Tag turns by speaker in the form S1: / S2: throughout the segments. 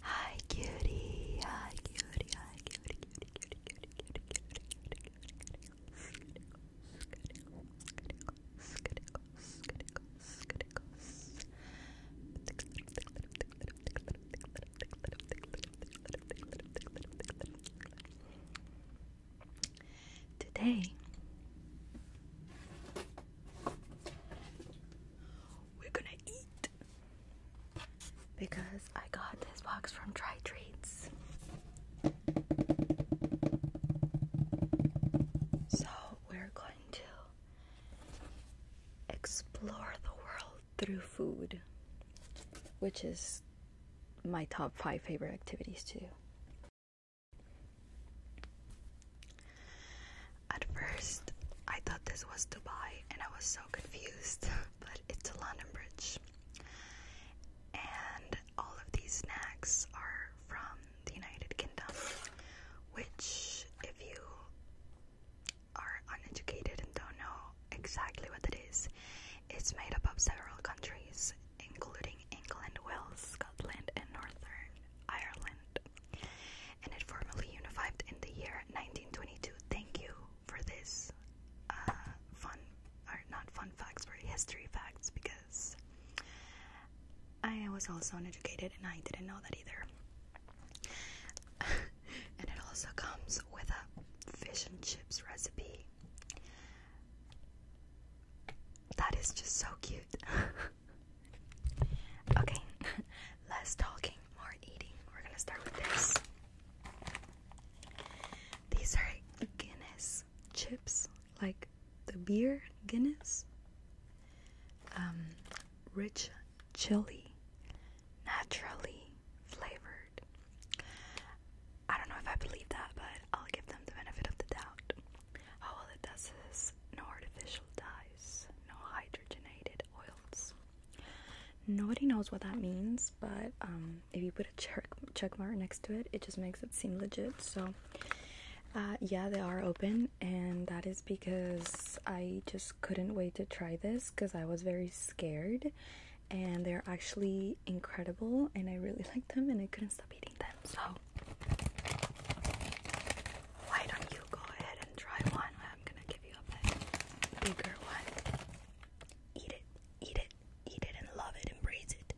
S1: Hi cutie, hi cutie, hi cutie, cutie, cutie, cutie, cutie, cutie, Today we're gonna eat because I got this box from Try Treats. So we're going to explore the world through food, which is my top five favorite activities too. At first, I thought this was Dubai and I was so confused, but it's a London Bridge. And all of these snacks are from the United Kingdom, which, if you are uneducated and don't know exactly what it is, it's made up of several countries, including England, Wales, Scotland, and Northern Ireland and it formally unified in the year 1922. Thank you for this uh, fun, or not fun facts, but history facts because I was also uneducated and I didn't know that either. and it also comes with a fish and chips recipe. That is just so cute. Okay, less talking, more eating. We're gonna start with this. These are Guinness chips, like the beer Guinness. Um, rich chili, naturally flavored. I don't know if I believe that, but I'll give them the benefit of the doubt. All it does is no artificial dyes, no hydrogenated oils. Nobody knows what that means, but um, if you put a check, mark next to it, it just makes it seem legit. So, uh, yeah, they are open, and that is because I just couldn't wait to try this because I was very scared. And they're actually incredible, and I really like them, and I couldn't stop eating them. So, why don't you go ahead and try one? I'm gonna get give you a bit bigger one. Eat it, eat it, eat it, and love it, embrace it.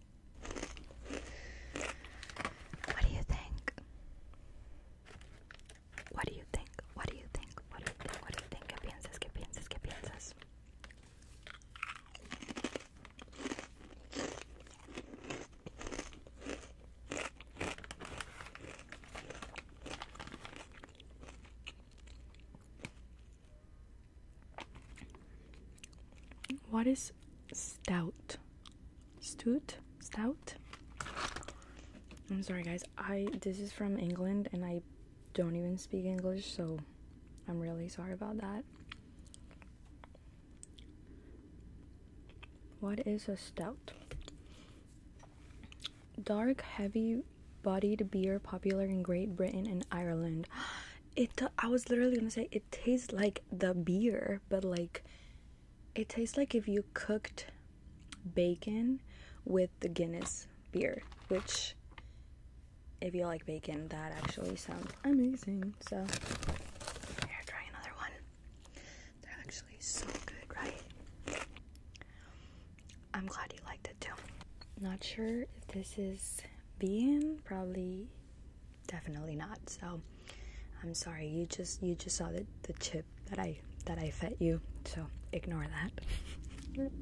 S1: What do you think? What do you think? What do you think? What do you think? What do you think? ¿Qué piensas? ¿Qué piensas? ¿Qué piensas? What is stout? Stout? Stout? I'm sorry guys. I this is from England and I don't even speak English, so I'm really sorry about that. What is a stout? Dark, heavy bodied beer popular in Great Britain and Ireland. It I was literally gonna say it tastes like the beer, but like it tastes like if you cooked bacon with the Guinness beer, which if you like bacon, that actually sounds amazing. So here, try another one. They're actually so good, right? I'm glad you liked it too. Not sure if this is being probably definitely not. So I'm sorry. You just you just saw the, the chip that I that I fed you. So ignore that.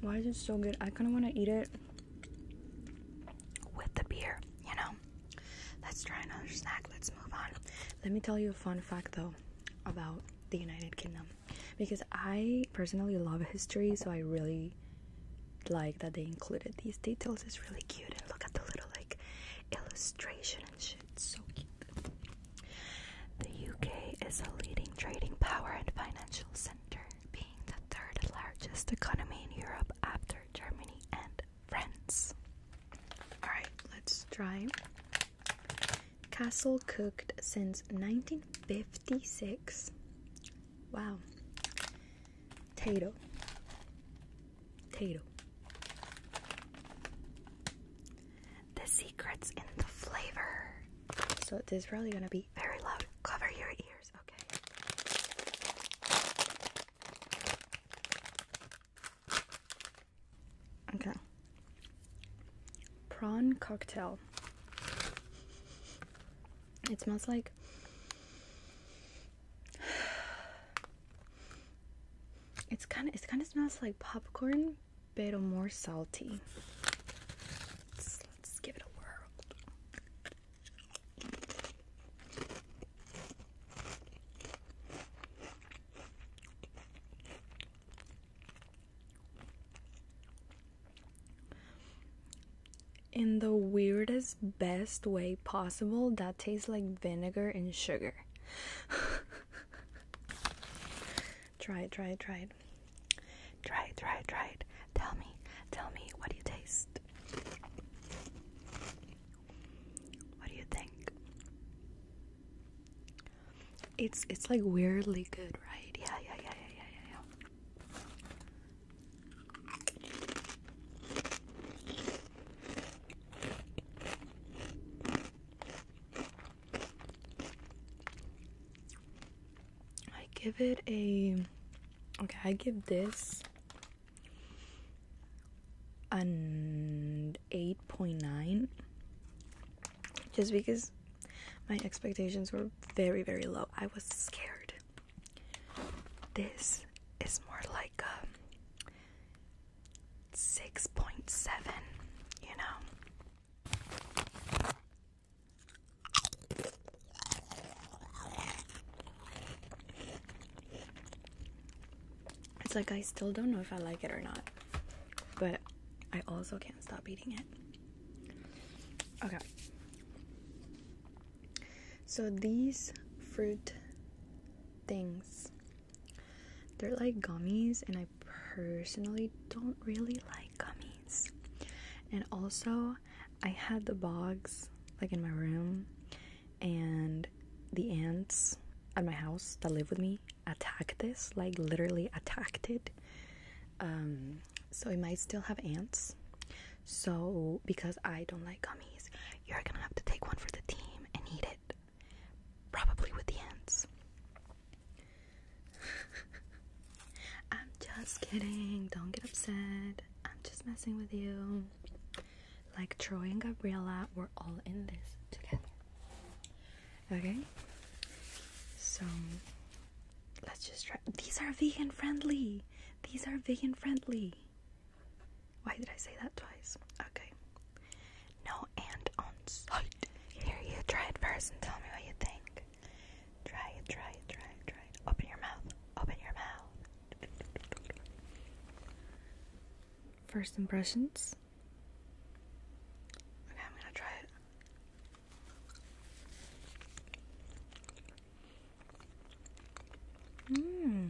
S1: Why is it so good? I kind of want to eat it with the beer, you know? Let's try another snack. Let's move on. Let me tell you a fun fact, though, about the United Kingdom. Because I personally love history, so I really like that they included these details. It's really cute. And look at the little, like, illustration and shit. so cute. The UK is a leading trading power and financial center being the third largest economy in Europe after Germany and France. Alright, let's try. Castle cooked since 1956. Wow. Tato. Tato. The secrets in the flavor. So, this is probably gonna be very loud. Cover your ears, okay? Okay. Prawn cocktail. It smells like it's kind of it kind of smells like popcorn a bit more salty. let's give it a whirl. In the weirdest, best way possible, that tastes like vinegar and sugar. Try it, try it, try it. Try it, try it, try it. Tell me, tell me, what do you taste? What do you think? It's it's like weirdly good, right? Yeah, yeah, yeah, yeah, yeah, yeah, I give it a okay, I give this an 8.9 just because my expectations were very, very low. I was scared. This is more like a 6.7, you know? It's like I still don't know if I like it or not, but I also can't stop eating it. Okay. So these fruit things, they're like gummies, and I personally don't really like gummies. And also, I had the bogs like in my room, and the ants at my house that live with me attacked this like literally attacked it. Um, so it might still have ants. So, because I don't like gummies, you're gonna have to take one for the team and eat it. Probably with the ants. I'm just kidding. Don't get upset. I'm just messing with you. Like Troy and Gabriella, we're all in this together. Okay? So, let's just try. These are vegan friendly. These are vegan friendly. Why did I say that twice? Okay. No and on site. Here, you try it first and tell me what you think. Try it, try it, try it, try it. Open your mouth. Open your mouth. First impressions. Okay, I'm gonna try it. Mmm.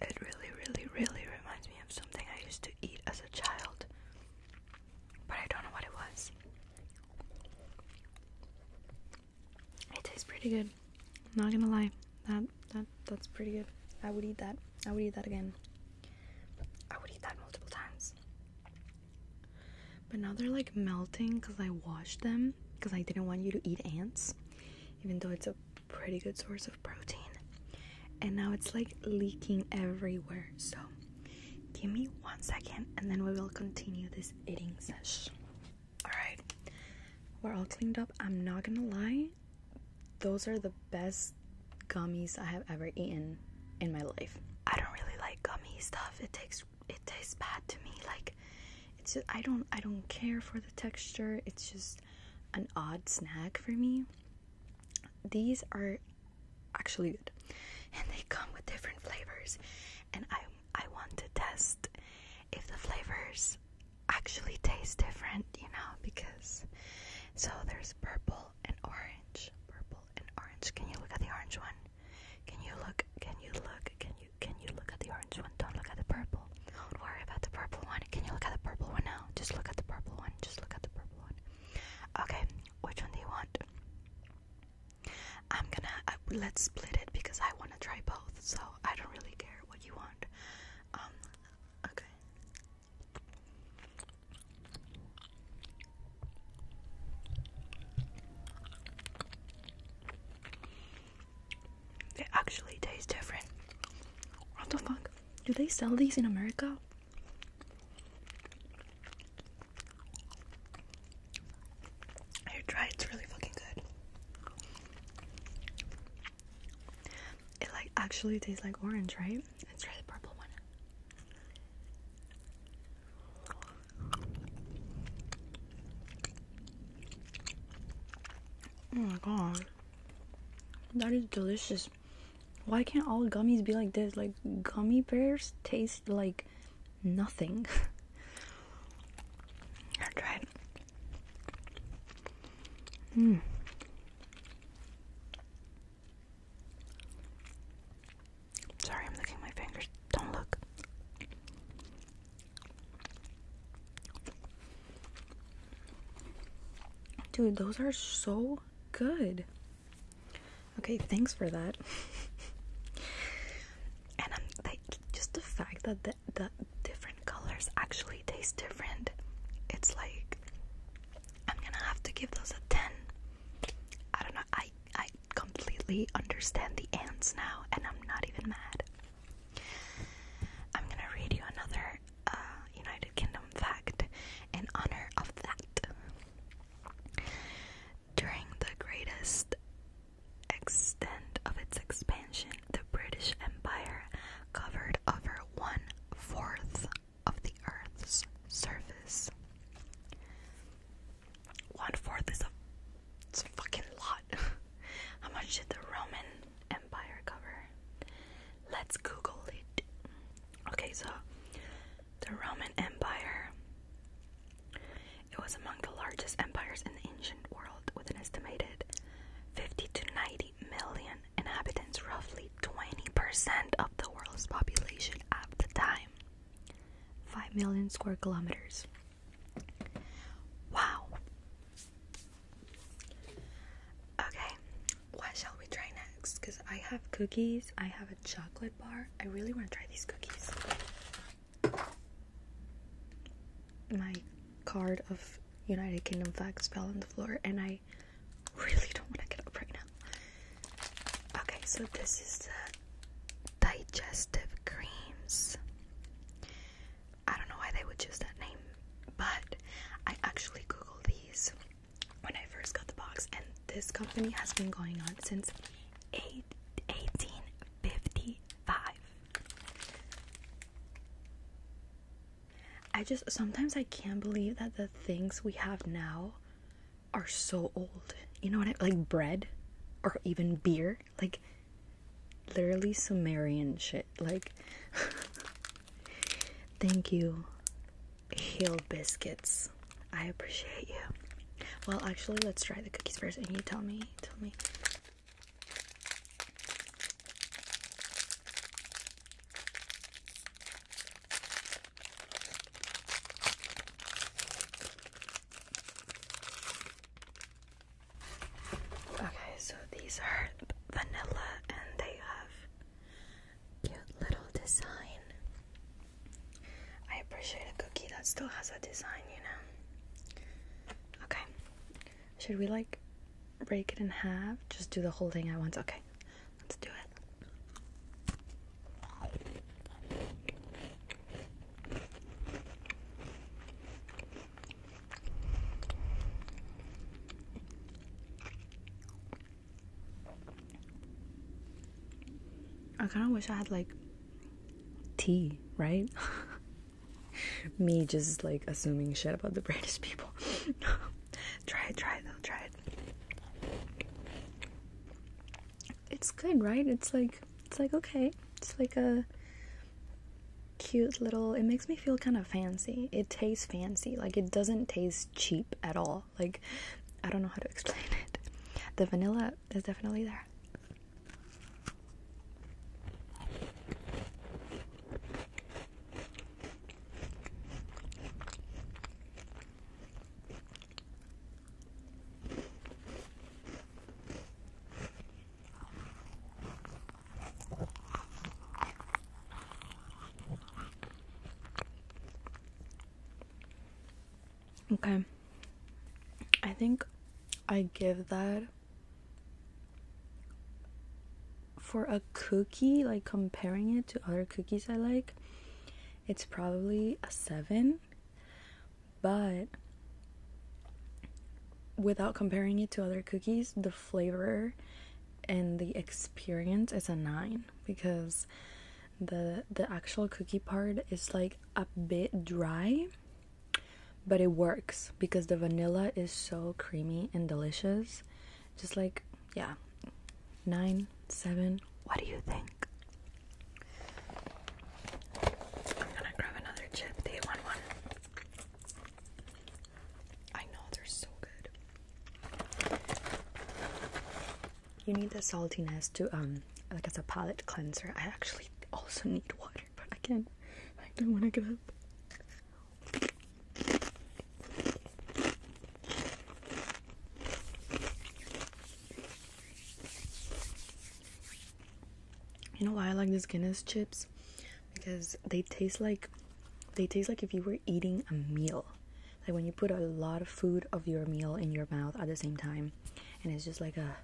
S1: It really, really, really reminds me of something I used to eat as a child, but I don't know what it was. It tastes pretty good. I'm not gonna lie, that that that's pretty good. I would eat that. I would eat that again. I would eat that multiple times. But now they're like melting because I washed them because I didn't want you to eat ants, even though it's a pretty good source of protein. And now it's like leaking everywhere. So give me one second and then we will continue this eating session. Alright, we're all cleaned up. I'm not gonna lie, those are the best gummies I have ever eaten in my life. I don't really like gummy stuff, it takes it tastes bad to me. Like it's just, I don't I don't care for the texture. It's just an odd snack for me. These are actually good. And they come with different flavors. And I I want to test if the flavors actually taste different, you know, because so there's purple and orange. Purple and orange. Can you look at the orange one? Can you look? Can you look? Can you can you look at the orange one? Don't look at the purple. Don't worry about the purple one. Can you look at the purple one now? Just look at the purple one. Just look at the purple one. Okay, which one do you want? I'm gonna I, am going to let us split it because I want to try both. So I don't really care what you want. Um, okay. It actually tastes different. What the fuck? Do they sell these in America? I tried, it's really fucking good. It like actually tastes like orange, right? Let's try the purple one. Oh my god. That is delicious. Why can't all gummies be like this? Like, gummy bears taste like nothing. I tried. Mmm. Sorry, I'm licking my fingers. Don't look. Dude, those are so good. Okay, thanks for that. and just the fact that the, the different colors actually taste different. It's like, I'm gonna have to give those a 10. I don't know I I completely understand the ants now, and I'm not even mad. I'm gonna read you another uh, United Kingdom fact in honor of that. During the greatest extent of its expansion, the British Empire covered over one fourth of the Earth's surface. One fourth is a, fucking lot. How much did the Roman Empire cover? Let's Google it. Okay, so the Roman Empire. It was among the largest empires in the ancient world, with an estimated 50 to 90 million inhabitants, roughly 20% of the world's population at the time. 5 million square kilometers. Wow. Okay, what shall we try next? Because I have cookies, I have a chocolate bar. I really want to try these cookies. My card of United Kingdom flags fell on the floor, and I really don't want to get up right now. Okay, so this is the digestive creams. I don't know why they would choose that name, but I actually googled these when I first got the box, and this company has been going on since 1855. I just sometimes I can't believe that the things we have now are so old. You know what I like bread or even beer? Like literally Sumerian shit. Like Thank you. Hill biscuits. I appreciate you. Well, actually, let's try the cookies first and you tell me, tell me. Okay, so these are vanilla and they have cute little design. I appreciate a cookie that still has a design, you know. Okay. Should we like break it in half? Just do the whole thing at once. Okay. Let's do it. I kind of wish I had like tea, right? Me just like assuming shit about the British people. try it, try it, though, try it it's good, right? It's like it's like okay. It's like a cute little it makes me feel kind of fancy. It tastes fancy. Like it doesn't taste cheap at all. Like I don't know how to explain it. The vanilla is definitely there. Okay. I think I give that for a cookie, like comparing it to other cookies I like, it's probably a 7. But without comparing it to other cookies, the flavor and the experience is a 9 because the the actual cookie part is like a bit dry but it works because the vanilla is so creamy and delicious just like yeah 9 7 what do you think I'm gonna grab another chip. They want one. I know they're so good. You need the saltiness to um like as a palate cleanser. I actually also need water, but again, I don't want to get up. You know why I like these Guinness chips? Because they taste like they taste like if you were eating a meal. Like when you put a lot of food of your meal in your mouth at the same time and it's just like a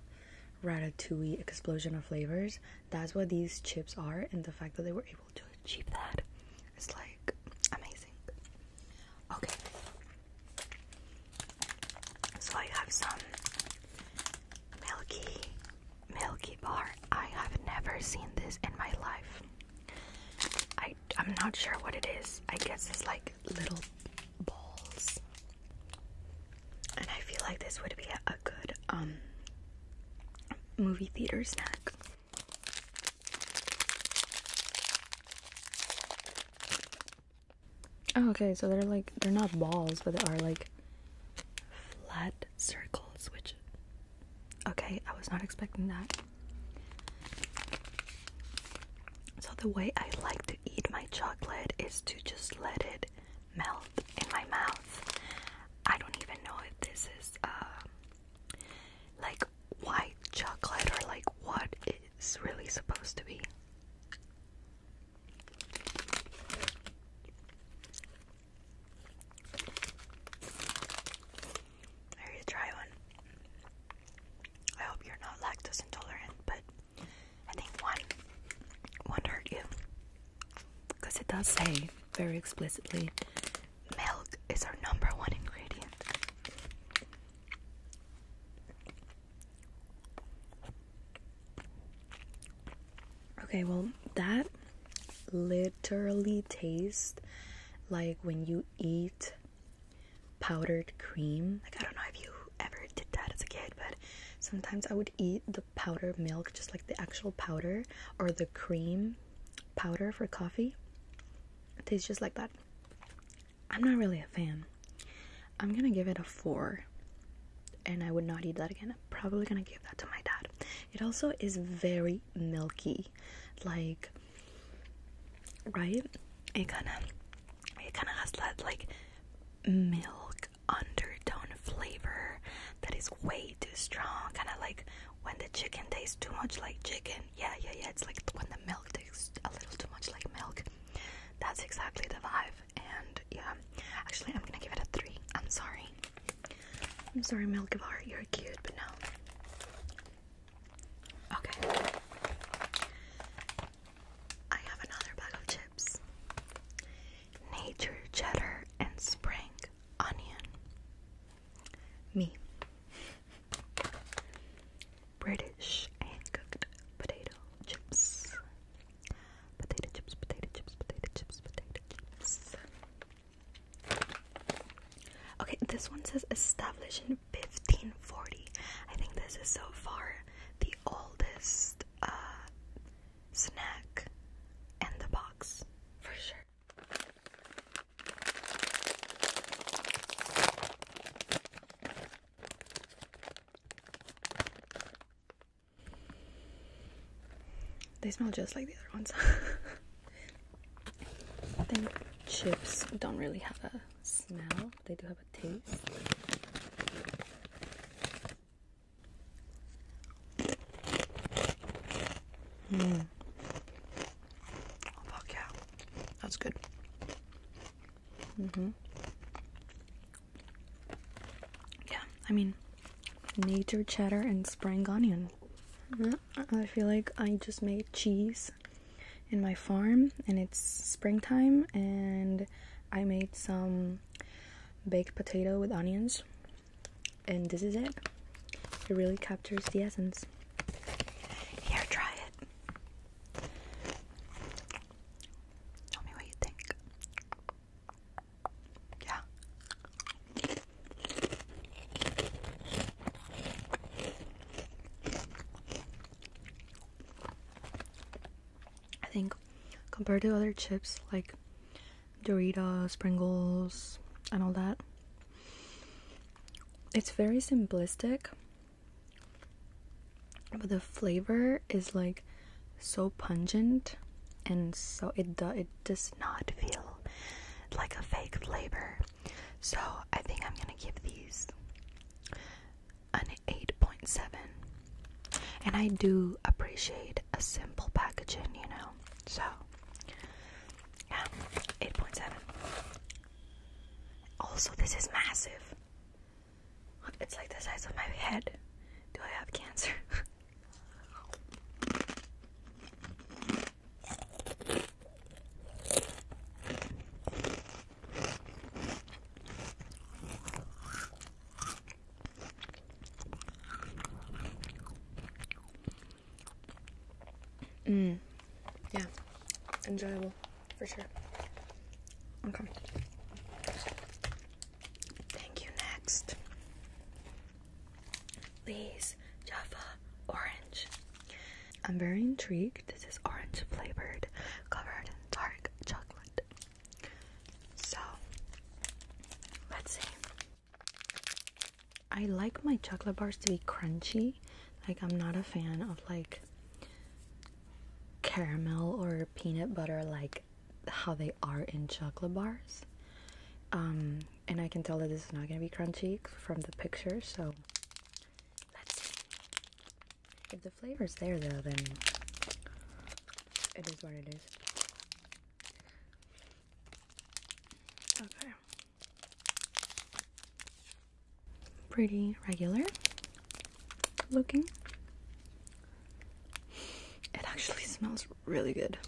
S1: ratatouille explosion of flavors. That's what these chips are and the fact that they were able to achieve that is like amazing. Okay. So I have some milky milky bar. I have never seen this in my life. I I'm not sure what it is. I guess it's like little balls. And I feel like this would be a, good um movie theater snack. Oh, okay, so they're like, they're not balls, but they are like flat circles, which. Okay, I was not expecting that. So, the way I like to eat my chocolate is to just let it melt in my mouth. I don't even know if this is uh, like white chocolate or like what it's really supposed to be. I need try one. I hope you're not lactose intolerant, but I think one will hurt you. Because it does say very explicitly milk is our number one ingredient. Okay, well, that literally tastes like when you eat powdered cream. Like, I don't know if you ever did that as a kid, but sometimes I would eat the powdered milk, just like the actual powder or the cream powder for coffee. It tastes just like that. I'm not really a fan. I'm gonna give it a four and I would not eat that again. I'm probably gonna give that to my dad. It also is very milky, like right? It kind of it kind of has that like milk undertone flavor that is way too strong. Kind of like when the chicken tastes too much like chicken. Yeah, yeah, yeah. It's like when the milk tastes a little too much like milk. That's exactly the vibe and yeah, actually, I'm gonna give it a 3. I'm sorry. I'm sorry, Milkivar, you're cute, but no. Okay. I have another bag of chips Nature Cheddar and Spring Onion. Me. British hand cooked potato chips. Potato chips, potato chips, potato chips, potato chips. Okay, this one says established in 1540. I think this is so far the oldest uh, snack in the box, for sure. They smell just like the other ones. I think chips don't really have a smell, they do have a taste. Mm. Oh, fuck yeah. That's good. hmm yeah, I mean, nature cheddar and spring onion. I feel like I just made cheese in my farm and it's springtime and I made some baked potato with onions and this is it. It really captures the essence. Here, try it. Tell me what you think. Yeah. I think compared to other chips like Doritos, Pringles, and all that, it's very simplistic but the flavor is like so pungent and so it do, it does not feel like a fake flavor so i think i'm gonna give these an 8.7 and i do appreciate a simple packaging you know so yeah 8.7 also this is massive it's like the size of my head. Do I have cancer? Mmm. Yeah. Enjoyable. For sure. Okay. Thank you. Next, Lee's Jaffa Orange. I'm very intrigued. This is orange flavored, covered in dark chocolate. So, let's see. I like my chocolate bars to be crunchy. Like, I'm not a fan of like caramel or peanut butter like how they are in chocolate bars. Um, and I can tell that this is not gonna be crunchy from the picture, so let's see. If the flavor is there though, then it is what it is. Okay. Pretty regular looking. It actually smells really good.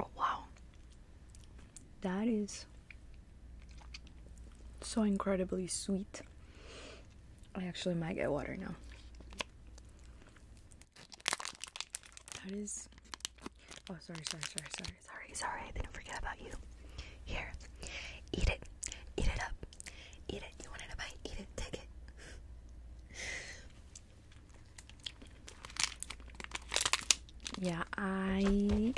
S1: Oh, wow. That is so incredibly sweet. I actually might get water now. That is. Oh, sorry, sorry, sorry, sorry, sorry, sorry. I didn't forget about you. Here, eat it, eat it up, eat it. You wanted a bite? Eat it. Take it. Yeah, I.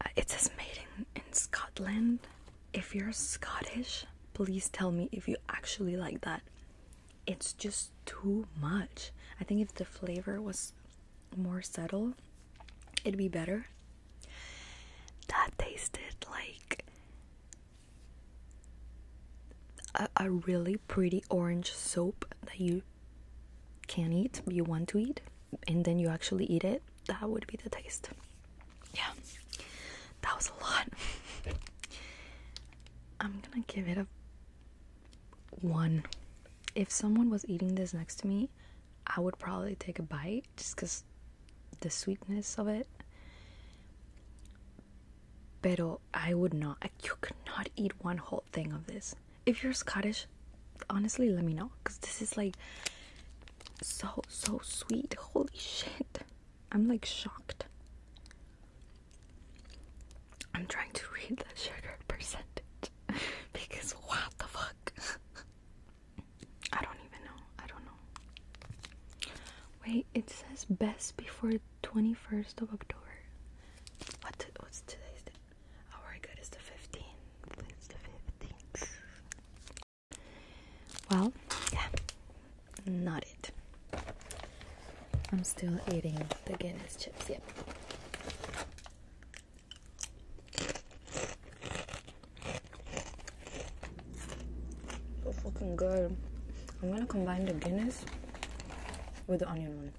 S1: Uh, it says made in, in Scotland. If you're Scottish, please tell me if you actually like that it's just too much. I think if the flavor was more subtle, it'd be better. That tasted like a, really pretty orange soap that you can not eat, but you want to eat, and then you actually eat it. That would be the taste. Yeah, that was a lot. I'm gonna give it a one, if someone was eating this next to me, I would probably take a bite just because the sweetness of it. Pero I would not. You could not eat one whole thing of this. If you're Scottish, honestly, let me know because this is like so so sweet. Holy shit! I'm like shocked. I'm trying to read the sugar percentage because what the fuck? I don't even know. I don't know. Wait, it says best before 21st of October. What what's today's date? Oh, very good. It's the 15th. It's the 15th. Well, yeah. Not I'm still eating the Guinness chips, yep. So fucking good. I'm gonna combine the Guinness with the onion one.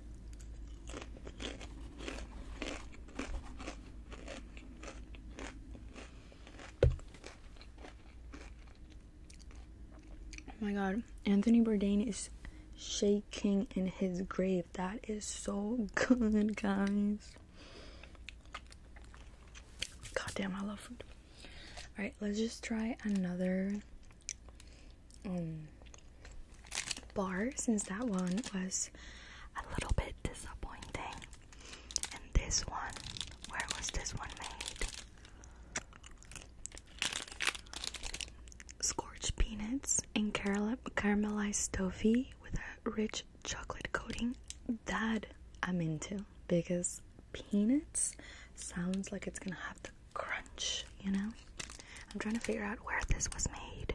S1: Oh my god, Anthony Bourdain is shaking in his grave. That is so good, guys. God damn, I love food. Alright, let's just try another um, bar since that one was a little bit disappointing. And this one, where was this one made? Scorched peanuts and caramelized toffee with a rich chocolate coating. That I'm into because peanuts sounds like it's gonna have the crunch, you know? I'm trying to figure out where this was made.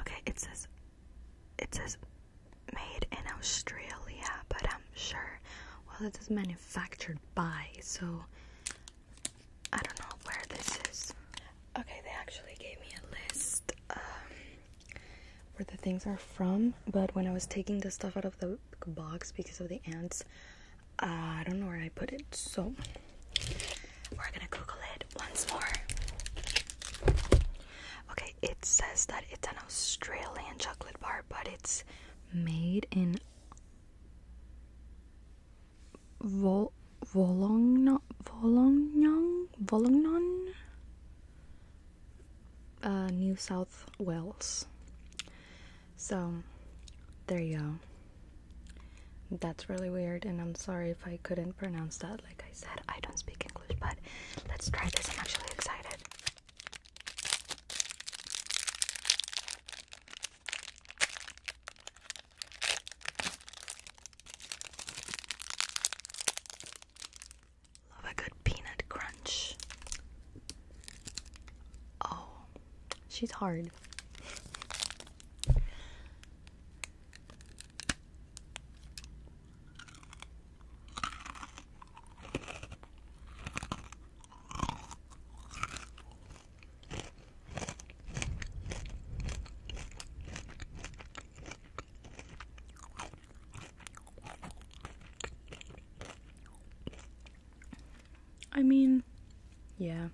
S1: Okay, it says it says made in Australia, but I'm sure well it says manufactured manufactured by, so I don't know where this is. Okay, they actually gave me a list um, where the things are from, but when I was taking the stuff out of the box because of the ants, uh, I don't know where I put it, so we're gonna Google it once more. Okay, it says that it's an Australian chocolate bar, but it's made in Vol Volongnon Volongnon Volongnon uh, New South Wales. So there you go. That's really weird, and I'm sorry if I couldn't pronounce that. Like I said, I don't speak English, but let's try this. I'm actually excited. Love a good peanut crunch. Oh, she's hard. I mean, yeah.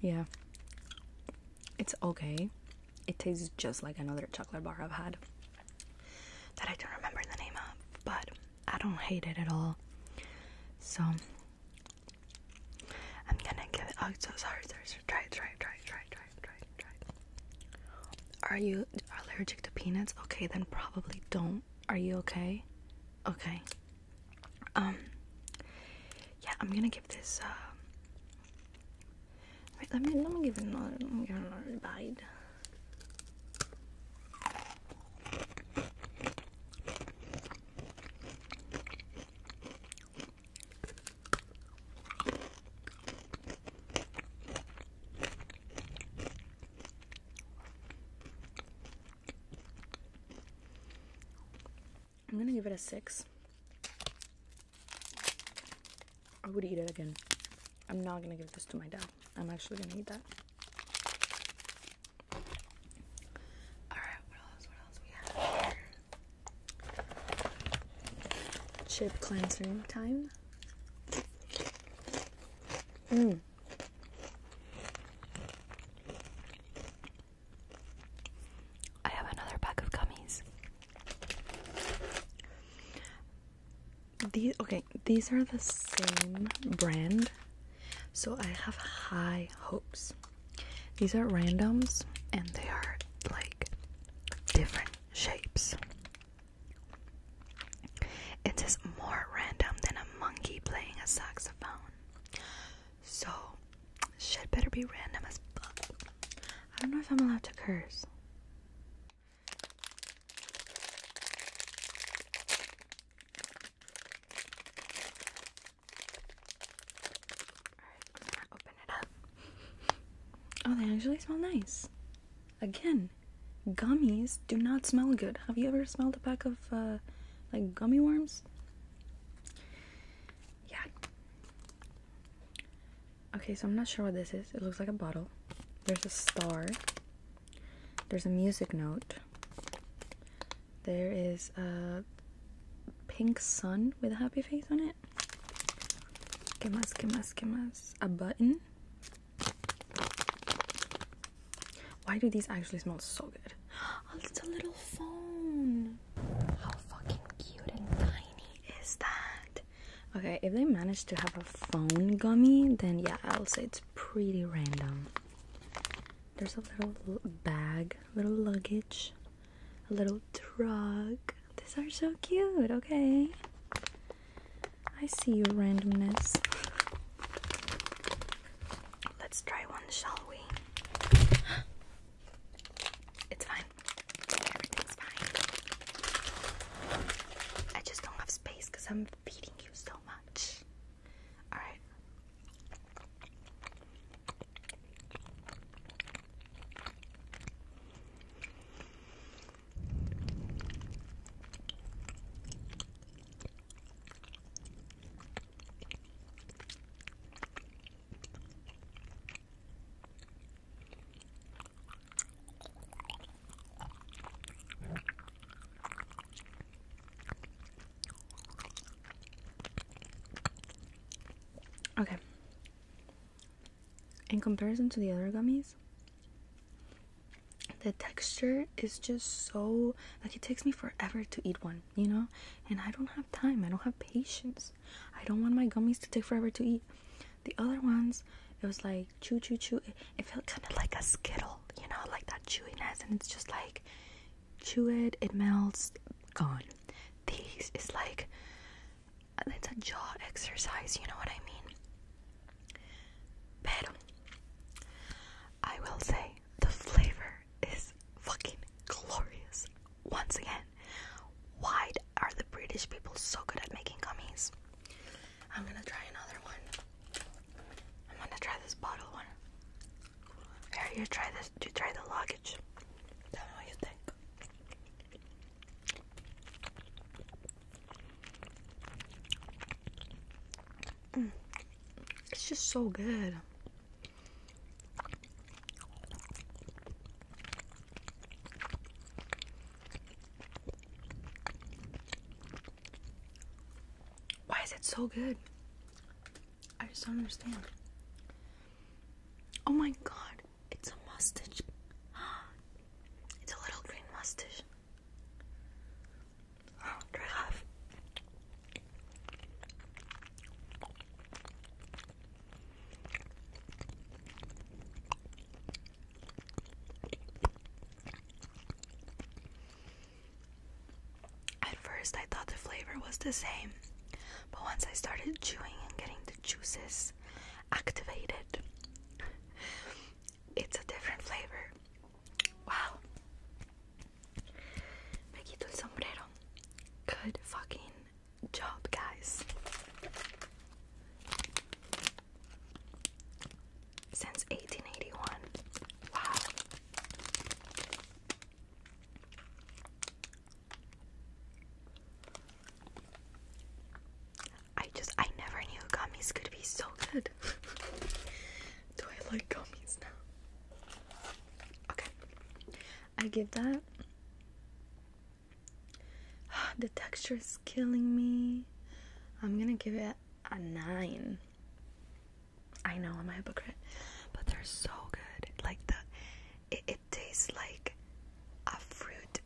S1: Yeah. It's okay. It tastes just like another chocolate bar I've had that I don't remember the name of, but I don't hate it at all. So I'm gonna give it. Oh, so sorry, sorry, sorry. Try, try, try, try, try, try, try. Are you allergic to peanuts? Okay, then probably don't. Are you okay? Okay. Um. Yeah, I'm gonna give this. Uh, wait, let me let me give it another. Let me give it another bite. I'm going to give it a 6. I would eat it again. I'm not going to give this to my dad. I'm actually gonna eat that. Alright, what else? What else we have Chip cleansing time. Mmm. I have another pack of gummies these okay these are the same brand so i have high hopes these are randoms and they are like different shapes it is more random than a monkey playing a saxophone so shit better be random as fuck i don't know if i'm allowed to curse oh, they actually smell nice. Again, gummies do not smell good. Have you ever smelled a pack of uh, like gummy worms? Yeah. Okay, so I'm not sure what this is. It looks like a bottle. There's a star. There's a music note. There is a pink sun with a happy face on it. ¿Qué más? ¿Qué A button. Why do these actually smell so good? Oh, a little phone. How fucking cute and tiny is that? Okay, if they manage to have a phone gummy, then yeah, I'll say it's pretty random. There's a little bag, little luggage, a little drug. These are so cute, okay? I see your randomness. Let's try one, shall we? It's fine. Everything's fine. I just don't have space because I'm feeding Thank you so much. All right. Okay. In comparison to the other gummies, the texture is just so like it takes me forever to eat one, you know? And I don't have time, I don't have patience. I don't want my gummies to take forever to eat. The other ones, it was like chew, chew, chew. It, it felt kind of like a Skittle, you know, like that chewiness, and it's just like chew it, it melts, gone. These is like it's a jaw exercise, you know what I mean? But I will say the flavor is fucking glorious. Once again, why are the British people so good at making gummies? I'm gonna try another one. I'm gonna try this bottle one. Here, you try this. You try the luggage. Tell me what you think. Mm. It's just so good. Why is it so good? I just don't understand. Oh my god, it's a mustache. It's a little green mustache. Oh, dry off. At first, I thought the flavor was the same, but once I started chewing and getting the juices activated, it's a different flavor. Wow. Me quito el sombrero. Good fucking job, guys since 1881. Wow. I just, I never knew gummies could be so good. Do I like gummies now? Okay. I give that. the texture is killing me. I'm gonna give it a 9. I know I'm a hypocrite, but they're so good. Like the, it, tastes like a fruit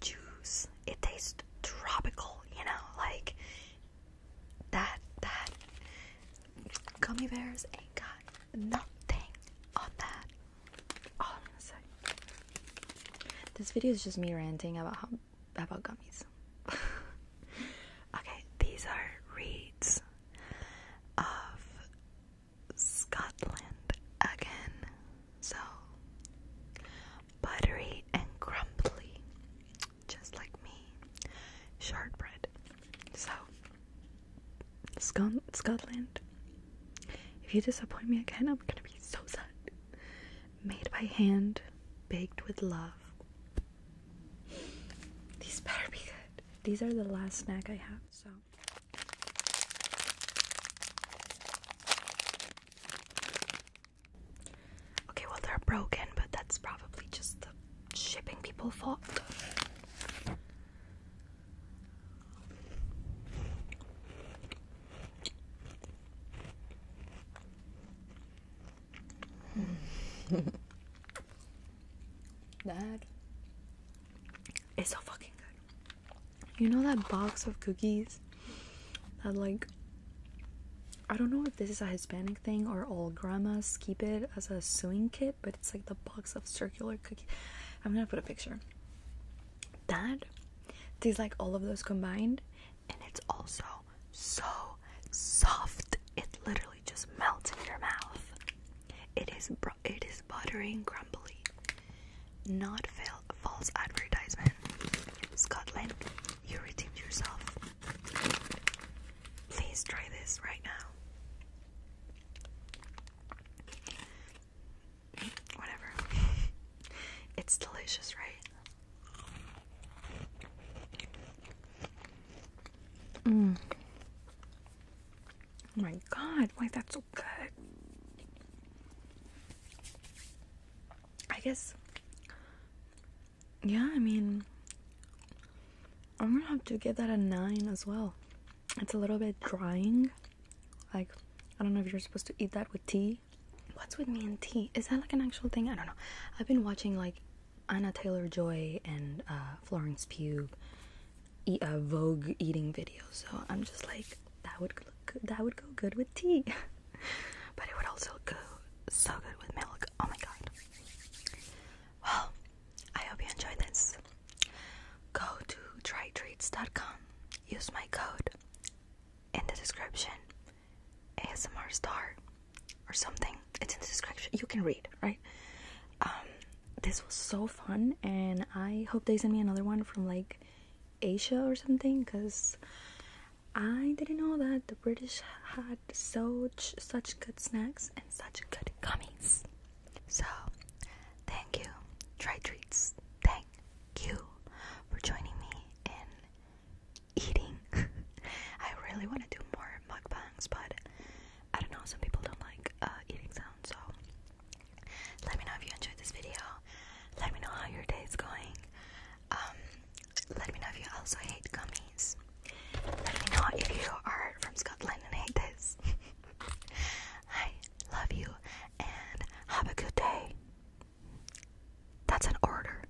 S1: juice. It tastes tropical, you know, like that that gummy bears ain't got nothing on that. All i This video is just me ranting about how how about gummies? okay, these are reeds of Scotland again. So buttery and crumbly, just like me. Shortbread. So Scot Scotland. If you disappoint me again, I'm gonna be so sad. Made by hand, baked with love. These better be good. These are the last snack I have, so. Okay, well, they're broken, but that's probably just the shipping people fault. Dad, that is so fucking good. You know that box of cookies that, like, I don't know if this is a Hispanic thing or all grandmas keep it as a sewing kit, but it's like the box of circular cookies. I'm gonna put a picture. Dad, tastes like all of those combined, and it's also so soft. It literally just melts in your mouth. It is it is buttery crumbly. Not fail false advertisement. Scotland, you redeemed yourself. Please try this right now. Whatever. it's delicious, right? Mm. Oh my god, why that's so good. I guess yeah, I mean I'm gonna have to give that a nine as well. It's a little bit drying. Like I don't know if you're supposed to eat that with tea What's with me and tea? Is that like an actual thing? I don't know. I've been watching like Anna Taylor Joy and uh, Florence Pugh eat, uh, Vogue eating video, so I'm just like that would look good. that would go good with tea, but it would also go so good with milk. Oh my god! Well, I hope you enjoyed this. Go to trytreats.com. Use my code in the description ASMR star or something. It's in the description. You can read, right? Um, this was so fun, and I hope they send me another one from like Asia or something, because I didn't know that the British had so such good snacks and such good gummies. So, thank you, Try Treats. Thank you for joining me in eating. I really want to do more mukbangs, but I don't know, some people don't like uh, eating sounds, so let me know if you enjoyed this video. Let me know how your day is going. Um, let me know if you also hate gummies. Let me know if you are from Scotland and hate this. I love you and have a good day. That's an order.